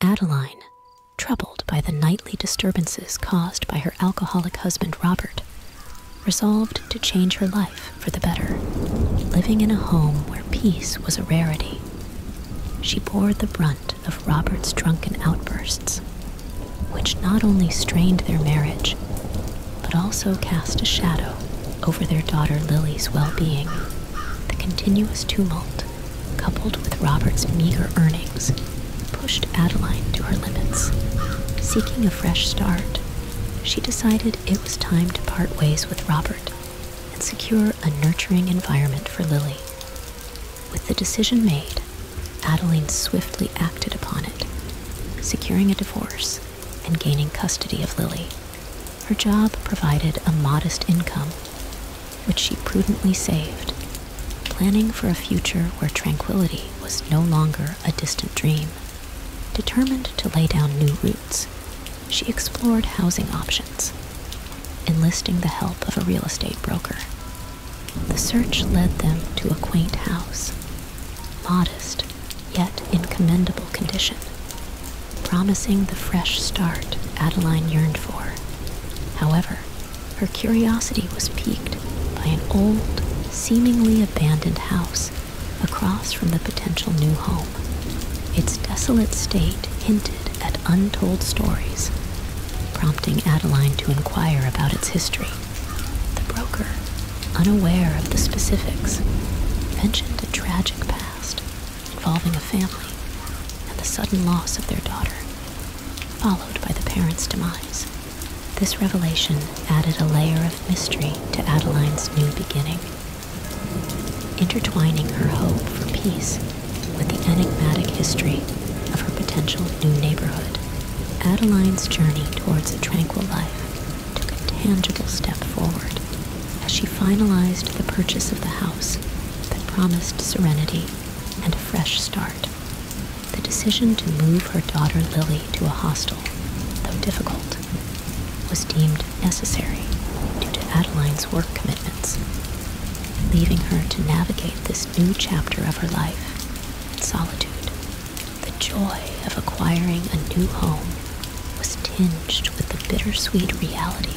Adeline, troubled by the nightly disturbances caused by her alcoholic husband Robert, resolved to change her life for the better, living in a home where peace was a rarity. She bore the brunt of Robert's drunken outbursts, which not only strained their marriage, but also cast a shadow over their daughter Lily's well being. The continuous tumult coupled with Robert's meager earnings, pushed Adeline to her limits. Seeking a fresh start, she decided it was time to part ways with Robert and secure a nurturing environment for Lily. With the decision made, Adeline swiftly acted upon it, securing a divorce and gaining custody of Lily. Her job provided a modest income, which she prudently saved, planning for a future where tranquility was no longer a distant dream. Determined to lay down new roots, she explored housing options, enlisting the help of a real estate broker. The search led them to a quaint house, modest yet in commendable condition, promising the fresh start Adeline yearned for. However, her curiosity was piqued by an old, seemingly abandoned house across from the potential new home. Its desolate state hinted at untold stories, prompting Adeline to inquire about its history. The broker, unaware of the specifics, mentioned a tragic past involving a family and the sudden loss of their daughter, followed by the parents' demise. This revelation added a layer of mystery to Adeline's new beginning, intertwining her hope for peace with the enigmatic history of her potential new neighborhood. Adeline's journey towards a tranquil life took a tangible step forward as she finalized the purchase of the house that promised serenity and a fresh start. The decision to move her daughter Lily to a hostel, though difficult, was deemed necessary due to Adeline's work commitments, leaving her to navigate this new chapter of her life in solitude. The joy of acquiring a new home was tinged with the bittersweet reality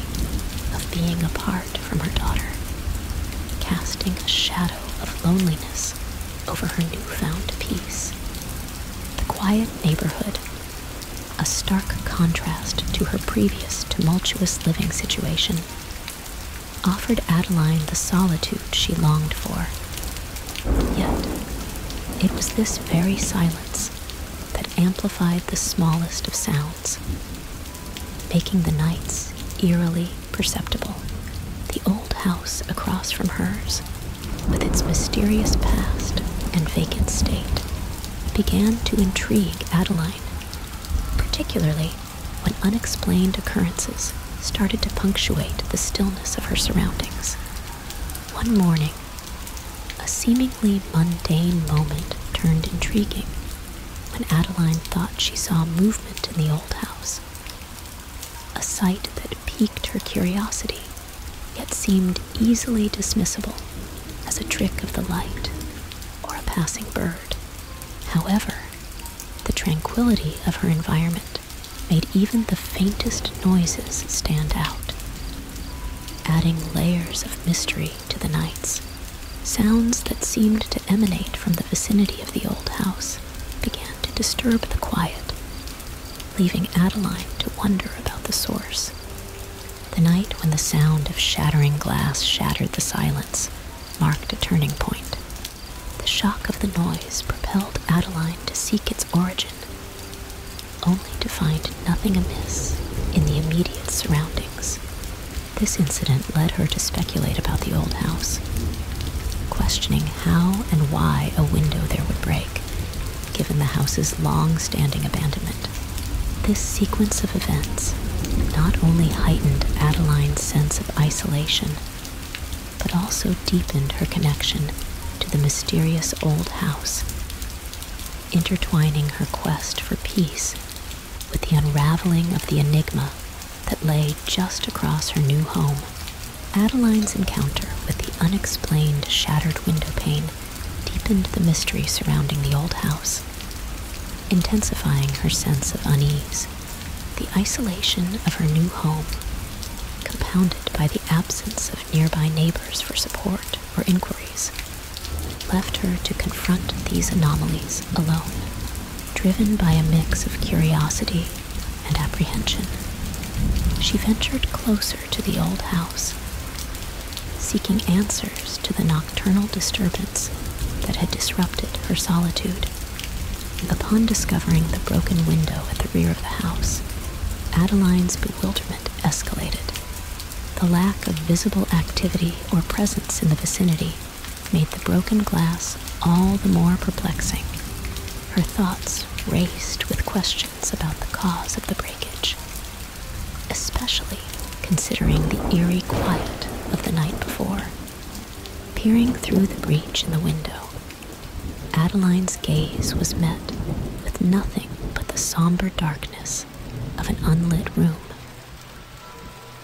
of being apart from her daughter, casting a shadow of loneliness over her newfound peace. The quiet neighborhood, a stark contrast to her previous tumultuous living situation, offered Adeline the solitude she longed for. Yet, it was this very silence that amplified the smallest of sounds, making the nights eerily perceptible. The old house across from hers, with its mysterious past and vacant state, began to intrigue Adeline, particularly when unexplained occurrences started to punctuate the stillness of her surroundings. One morning, a seemingly mundane moment turned intriguing when Adeline thought she saw movement in the old house. A sight that piqued her curiosity, yet seemed easily dismissible as a trick of the light or a passing bird. However, the tranquility of her environment made even the faintest noises stand out adding layers of mystery to the nights. Sounds that seemed to emanate from the vicinity of the old house began to disturb the quiet, leaving Adeline to wonder about the source. The night when the sound of shattering glass shattered the silence marked a turning point. The shock of the noise propelled Adeline to seek its origin only to find nothing amiss in the immediate surroundings. This incident led her to speculate about the old house, questioning how and why a window there would break, given the house's long standing abandonment. This sequence of events not only heightened Adeline's sense of isolation, but also deepened her connection to the mysterious old house intertwining her quest for peace with the unraveling of the enigma that lay just across her new home. Adeline's encounter with the unexplained shattered window pane deepened the mystery surrounding the old house, intensifying her sense of unease. The isolation of her new home, compounded by the absence of nearby neighbors for support, or inquiries, left her to confront these anomalies alone, driven by a mix of curiosity and apprehension. She ventured closer to the old house, seeking answers to the nocturnal disturbance that had disrupted her solitude. Upon discovering the broken window at the rear of the house, Adeline's bewilderment escalated. The lack of visible activity or presence in the vicinity made the broken glass all the more perplexing. Her thoughts raced with questions about the cause of the breakage, especially considering the eerie quiet of the night before. Peering through the breach in the window, Adeline's gaze was met with nothing but the somber darkness of an unlit room.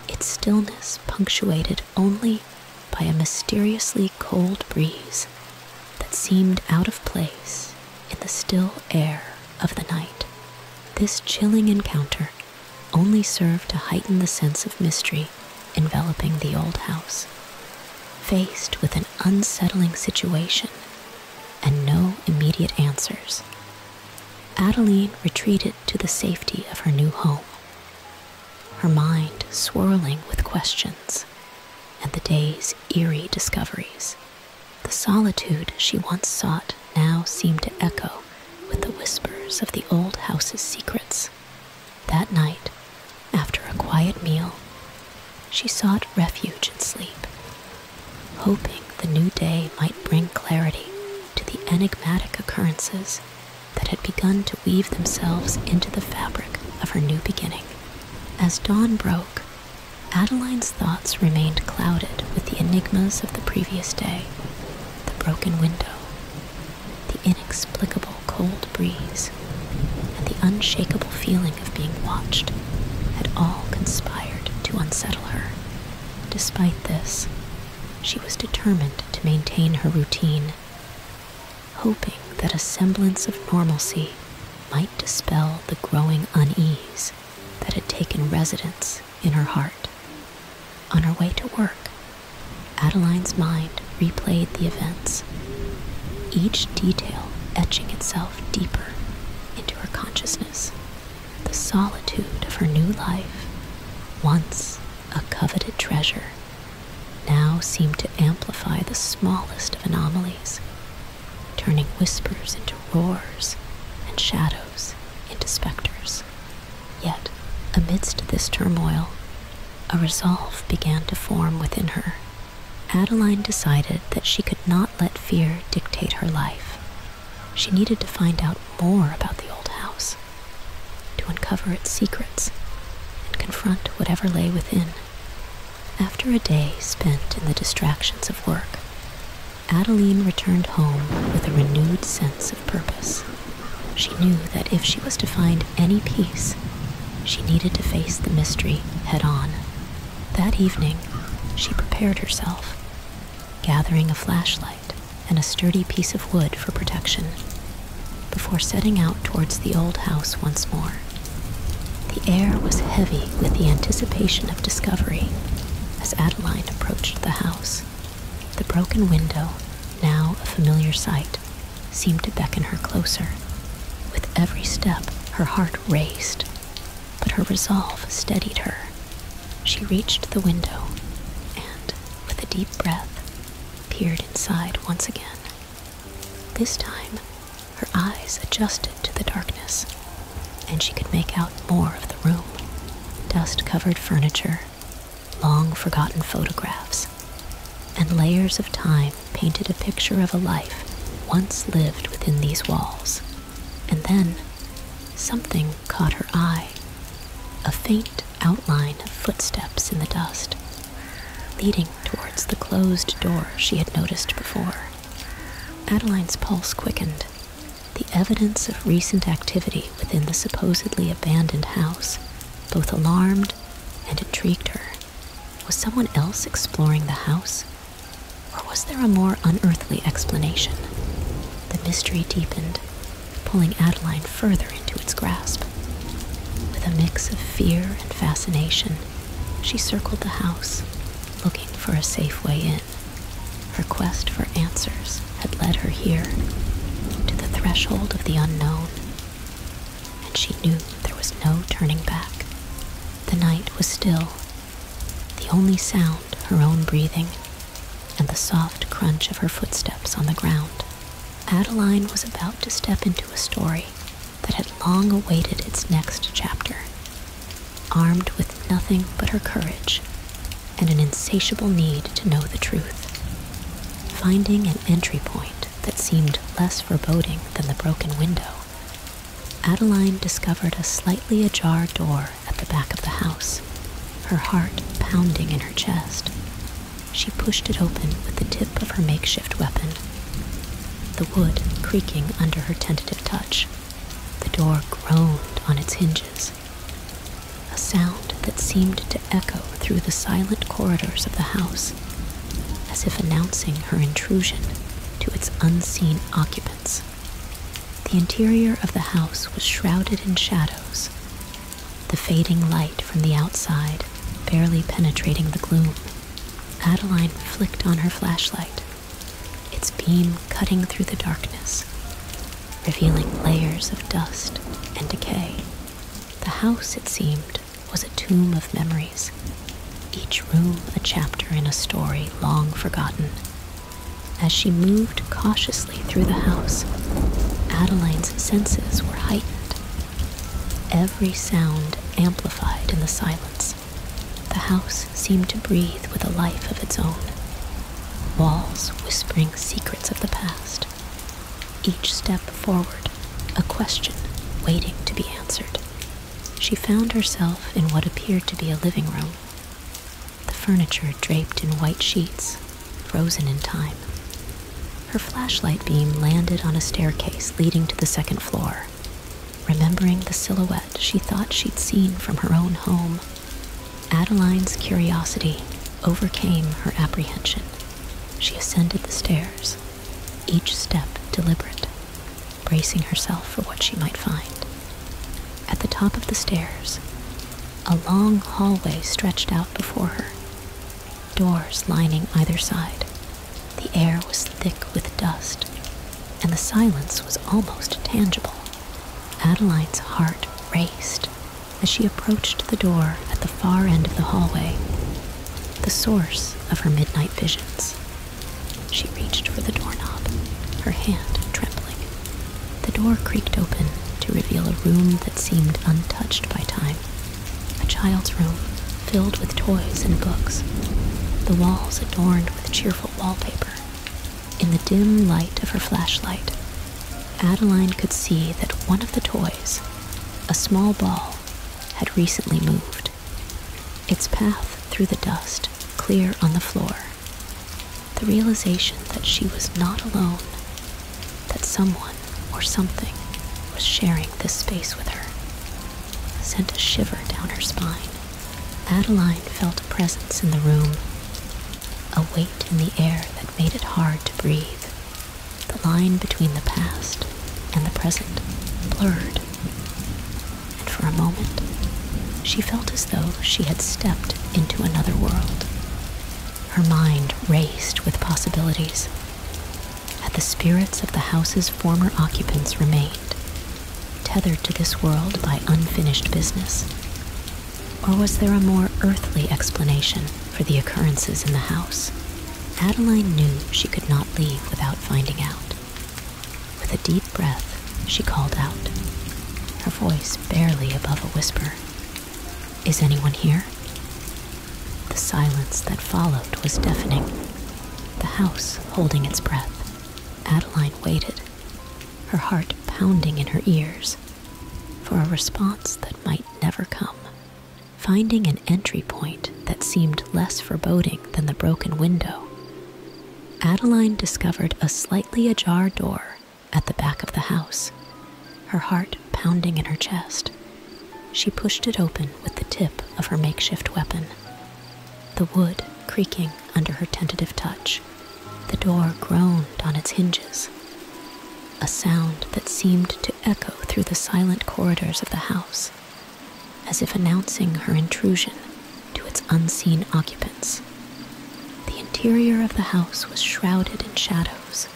Its stillness punctuated only by a mysteriously cold breeze that seemed out of place in the still air of the night. This chilling encounter only served to heighten the sense of mystery enveloping the old house. Faced with an unsettling situation, and no immediate answers, Adeline retreated to the safety of her new home, her mind swirling with questions and the day's eerie discoveries. The solitude she once sought now seemed to echo with the whispers of the old house's secrets. That night, after a quiet meal, she sought refuge in sleep, hoping the new day might bring clarity to the enigmatic occurrences that had begun to weave themselves into the fabric of her new beginning. As dawn broke, Adeline's thoughts remained clouded with the enigmas of the previous day the broken window, the inexplicable cold breeze and the unshakable feeling of being watched had all conspired to unsettle her. Despite this, she was determined to maintain her routine, hoping that a semblance of normalcy might dispel the growing unease that had taken residence in her heart. On her way to work, Adeline's mind replayed the events each detail etching itself deeper into her consciousness. The solitude of her new life, once a coveted treasure, now seemed to amplify the smallest of anomalies, turning whispers into roars and shadows into specters. Yet, amidst this turmoil, a resolve began to form within her Adeline decided that she could not let fear dictate her life. She needed to find out more about the old house, to uncover its secrets, and confront whatever lay within. After a day spent in the distractions of work, Adeline returned home with a renewed sense of purpose. She knew that if she was to find any peace, she needed to face the mystery head on. That evening, she prepared herself, gathering a flashlight and a sturdy piece of wood for protection, before setting out towards the old house once more. The air was heavy with the anticipation of discovery as Adeline approached the house. The broken window, now a familiar sight, seemed to beckon her closer. With every step, her heart raced, but her resolve steadied her. She reached the window and, with a deep breath, peered inside once again. This time, her eyes adjusted to the darkness, and she could make out more of the room dust covered furniture, long forgotten photographs and layers of time painted a picture of a life once lived within these walls. And then something caught her eye a faint outline of footsteps in the dust, leading towards the closed door she had noticed before. Adeline's pulse quickened. The evidence of recent activity within the supposedly abandoned house both alarmed and intrigued her. Was someone else exploring the house? Or was there a more unearthly explanation? The mystery deepened, pulling Adeline further into its grasp. With a mix of fear and fascination, she circled the house, looking for a safe way in. Her quest for answers had led her here, to the threshold of the unknown and she knew there was no turning back. The night was still, the only sound her own breathing and the soft crunch of her footsteps on the ground. Adeline was about to step into a story that had long awaited its next chapter. Armed with nothing but her courage and an insatiable need to know the truth, finding an entry point that seemed less foreboding than the broken window, Adeline discovered a slightly ajar door at the back of the house, her heart pounding in her chest. She pushed it open with the tip of her makeshift weapon, the wood creaking under her tentative touch. The door groaned on its hinges, a sound that seemed to echo through the silent corridors of the house as if announcing her intrusion to its unseen occupants. The interior of the house was shrouded in shadows, the fading light from the outside barely penetrating the gloom. Adeline flicked on her flashlight, its beam cutting through the darkness, revealing layers of dust and decay. The house, it seemed, was a tomb of memories, each room a chapter in a story long forgotten. As she moved cautiously through the house, Adeline's senses were heightened, every sound amplified in the silence. The house seemed to breathe with a life of its own, walls whispering secrets of the past, each step forward, a question waiting to be answered. She found herself in what appeared to be a living room, the furniture draped in white sheets, frozen in time. Her flashlight beam landed on a staircase leading to the second floor. Remembering the silhouette she thought she'd seen from her own home, Adeline's curiosity overcame her apprehension. She ascended the stairs, each step deliberate, bracing herself for what she might find. At the top of the stairs, a long hallway stretched out before her, doors lining either side. The air was thick with dust, and the silence was almost tangible. Adeline's heart raced as she approached the door at the far end of the hallway, the source of her midnight visions. She reached for the doorknob, her hand trembling. The door creaked open to reveal a room that seemed untouched by time. A child's room filled with toys and books, the walls adorned with cheerful wallpaper. In the dim light of her flashlight, Adeline could see that one of the toys, a small ball, had recently moved, its path through the dust clear on the floor. The realization that she was not alone, that someone or something was sharing this space with her, sent a shiver down her spine. Adeline felt a presence in the room, a weight in the air that made it hard to breathe the line between the past and the present blurred, and for a moment she felt as though she had stepped into another world. Her mind raced with possibilities. Had the spirits of the house's former occupants remained, tethered to this world by unfinished business, or was there a more earthly explanation for the occurrences in the house? Adeline knew she could not leave without finding out. With a deep breath, she called out, her voice barely above a whisper. Is anyone here? The silence that followed was deafening, the house holding its breath. Adeline waited, her heart pounding in her ears for a response that might never come. Finding an entry point that seemed less foreboding than the broken window, Adeline discovered a slightly ajar door at the back of the house, her heart pounding in her chest. She pushed it open with the tip of her makeshift weapon, the wood creaking under her tentative touch. The door groaned on its hinges, a sound that seemed to echo through the silent corridors of the house, as if announcing her intrusion to its unseen occupants. The interior of the house was shrouded in shadows,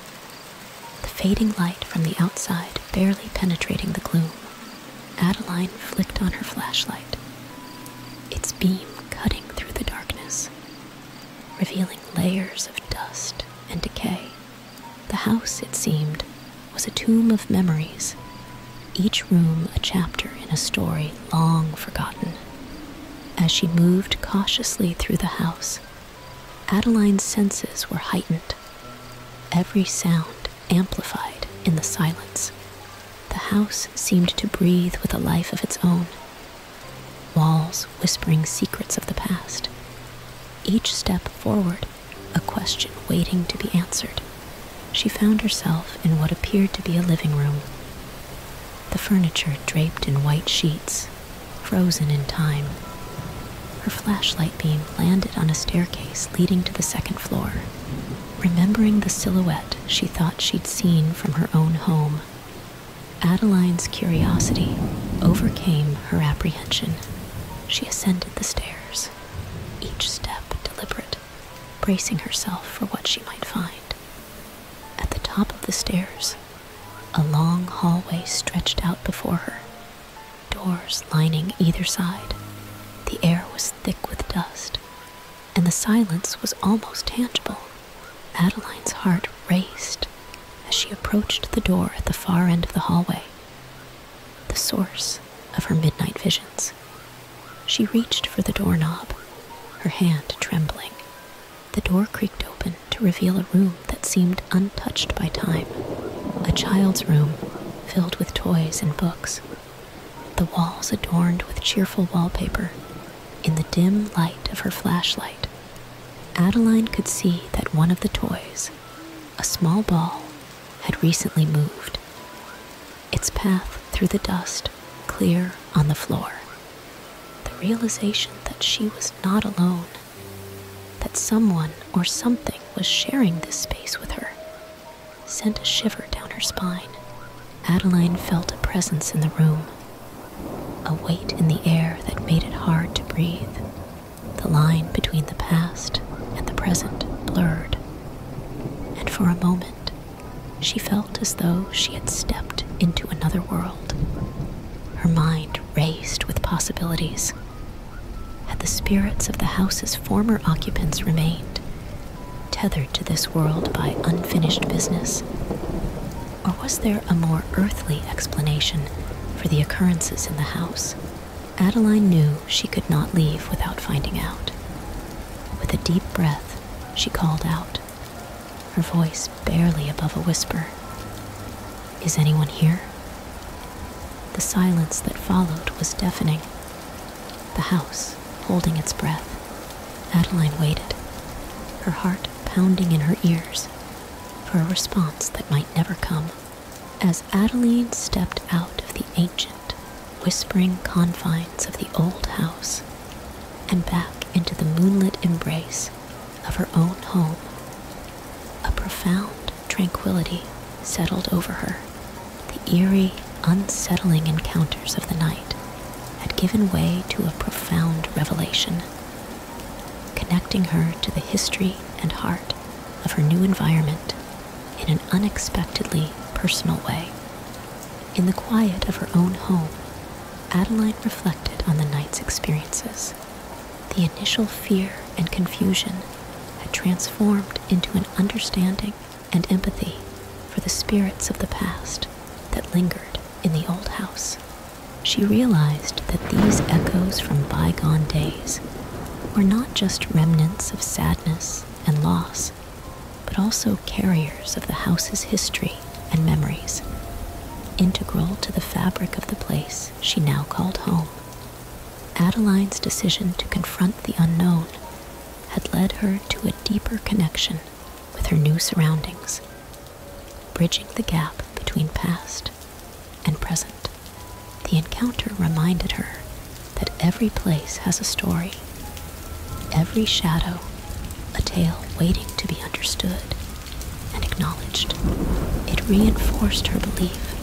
the fading light from the outside barely penetrating the gloom. Adeline flicked on her flashlight, its beam cutting through the darkness revealing layers of dust and decay. The house, it seemed, was a tomb of memories, each room a chapter in a story long forgotten. As she moved cautiously through the house, Adeline's senses were heightened, every sound amplified in the silence. The house seemed to breathe with a life of its own, walls whispering secrets of the past. Each step forward, a question waiting to be answered. She found herself in what appeared to be a living room. The furniture draped in white sheets, frozen in time. Her flashlight beam landed on a staircase leading to the second floor. Remembering the silhouette she thought she'd seen from her own home, Adeline's curiosity overcame her apprehension. She ascended the stairs, each step deliberate, bracing herself for what she might find. At the top of the stairs, a long hallway stretched out before her, doors lining either side. The air was thick with dust, and the silence was almost tangible. Adeline's heart raced as she approached the door at the far end of the hallway, the source of her midnight visions. She reached for the doorknob, her hand trembling. The door creaked open to reveal a room that seemed untouched by time, a child's room filled with toys and books, the walls adorned with cheerful wallpaper in the dim light of her flashlight, Adeline could see that one of the toys, a small ball, had recently moved, its path through the dust clear on the floor. The realization that she was not alone, that someone or something was sharing this space with her, sent a shiver down her spine Adeline felt a presence in the room, a weight in the air that made it hard to breathe. The line between the past and the present blurred, and for a moment she felt as though she had stepped into another world. Her mind raced with possibilities. Had the spirits of the house's former occupants remained, tethered to this world by unfinished business? Or was there a more earthly explanation for the occurrences in the house? Adeline knew she could not leave without finding out. With a deep breath, she called out, her voice barely above a whisper. Is anyone here? The silence that followed was deafening. The house holding its breath. Adeline waited, her heart pounding in her ears, for a response that might never come. As Adeline stepped out of the ancient, whispering confines of the old house and back into the moonlit embrace of her own home, a profound tranquility settled over her. The eerie unsettling encounters of the night had given way to a profound revelation, connecting her to the history and heart of her new environment in an unexpectedly personal way. In the quiet of her own home, Adeline reflected on the night's experiences. The initial fear and confusion had transformed into an understanding and empathy for the spirits of the past that lingered in the old house. She realized that these echoes from bygone days were not just remnants of sadness and loss, but also carriers of the house's history and memories, integral to the fabric of the place she now called home. Adeline's decision to confront the unknown had led her to a deeper connection with her new surroundings, bridging the gap between past and present. The encounter reminded her that every place has a story, every shadow a tale waiting to be understood and acknowledged. It reinforced her belief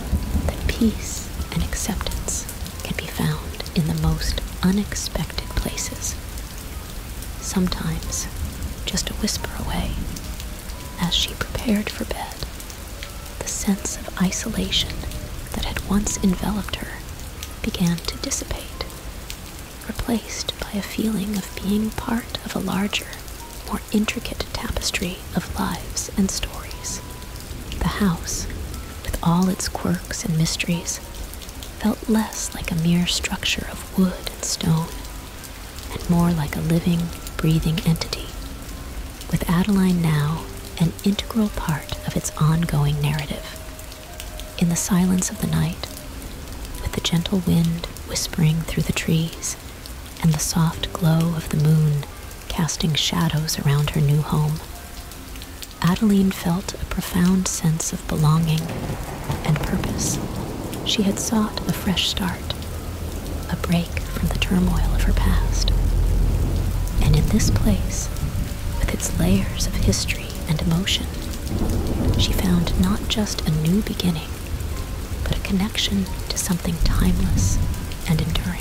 that peace and acceptance can be found in the most unexpected places. Sometimes just a whisper away. As she prepared for bed, the sense of isolation that had once enveloped her began to dissipate, replaced by a feeling of being part of a larger, more intricate tapestry of lives and stories. The house, with all its quirks and mysteries, felt less like a mere structure of wood and stone and more like a living, breathing entity, with Adeline now an integral part of its ongoing narrative. In the silence of the night, with the gentle wind whispering through the trees and the soft glow of the moon casting shadows around her new home, Adeline felt a profound sense of belonging and purpose. She had sought a fresh start, a break from the turmoil of her past. And in this place, with its layers of history and emotion, she found not just a new beginning, but a connection to something timeless and enduring.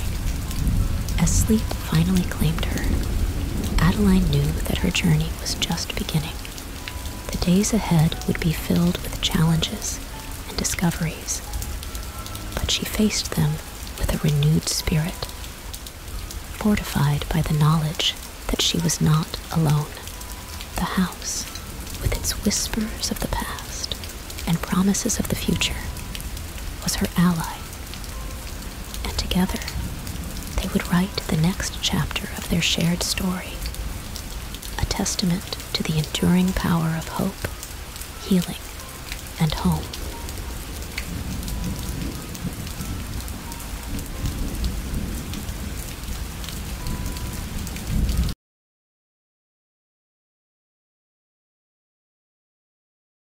As sleep finally claimed her, Adeline knew that her journey was just beginning. The days ahead would be filled with challenges and discoveries, but she faced them with a renewed spirit, fortified by the knowledge that she was not alone. The house, with its whispers of the past and promises of the future, was her ally and together, they would write the next chapter of their shared story, a testament to the enduring power of hope, healing, and home.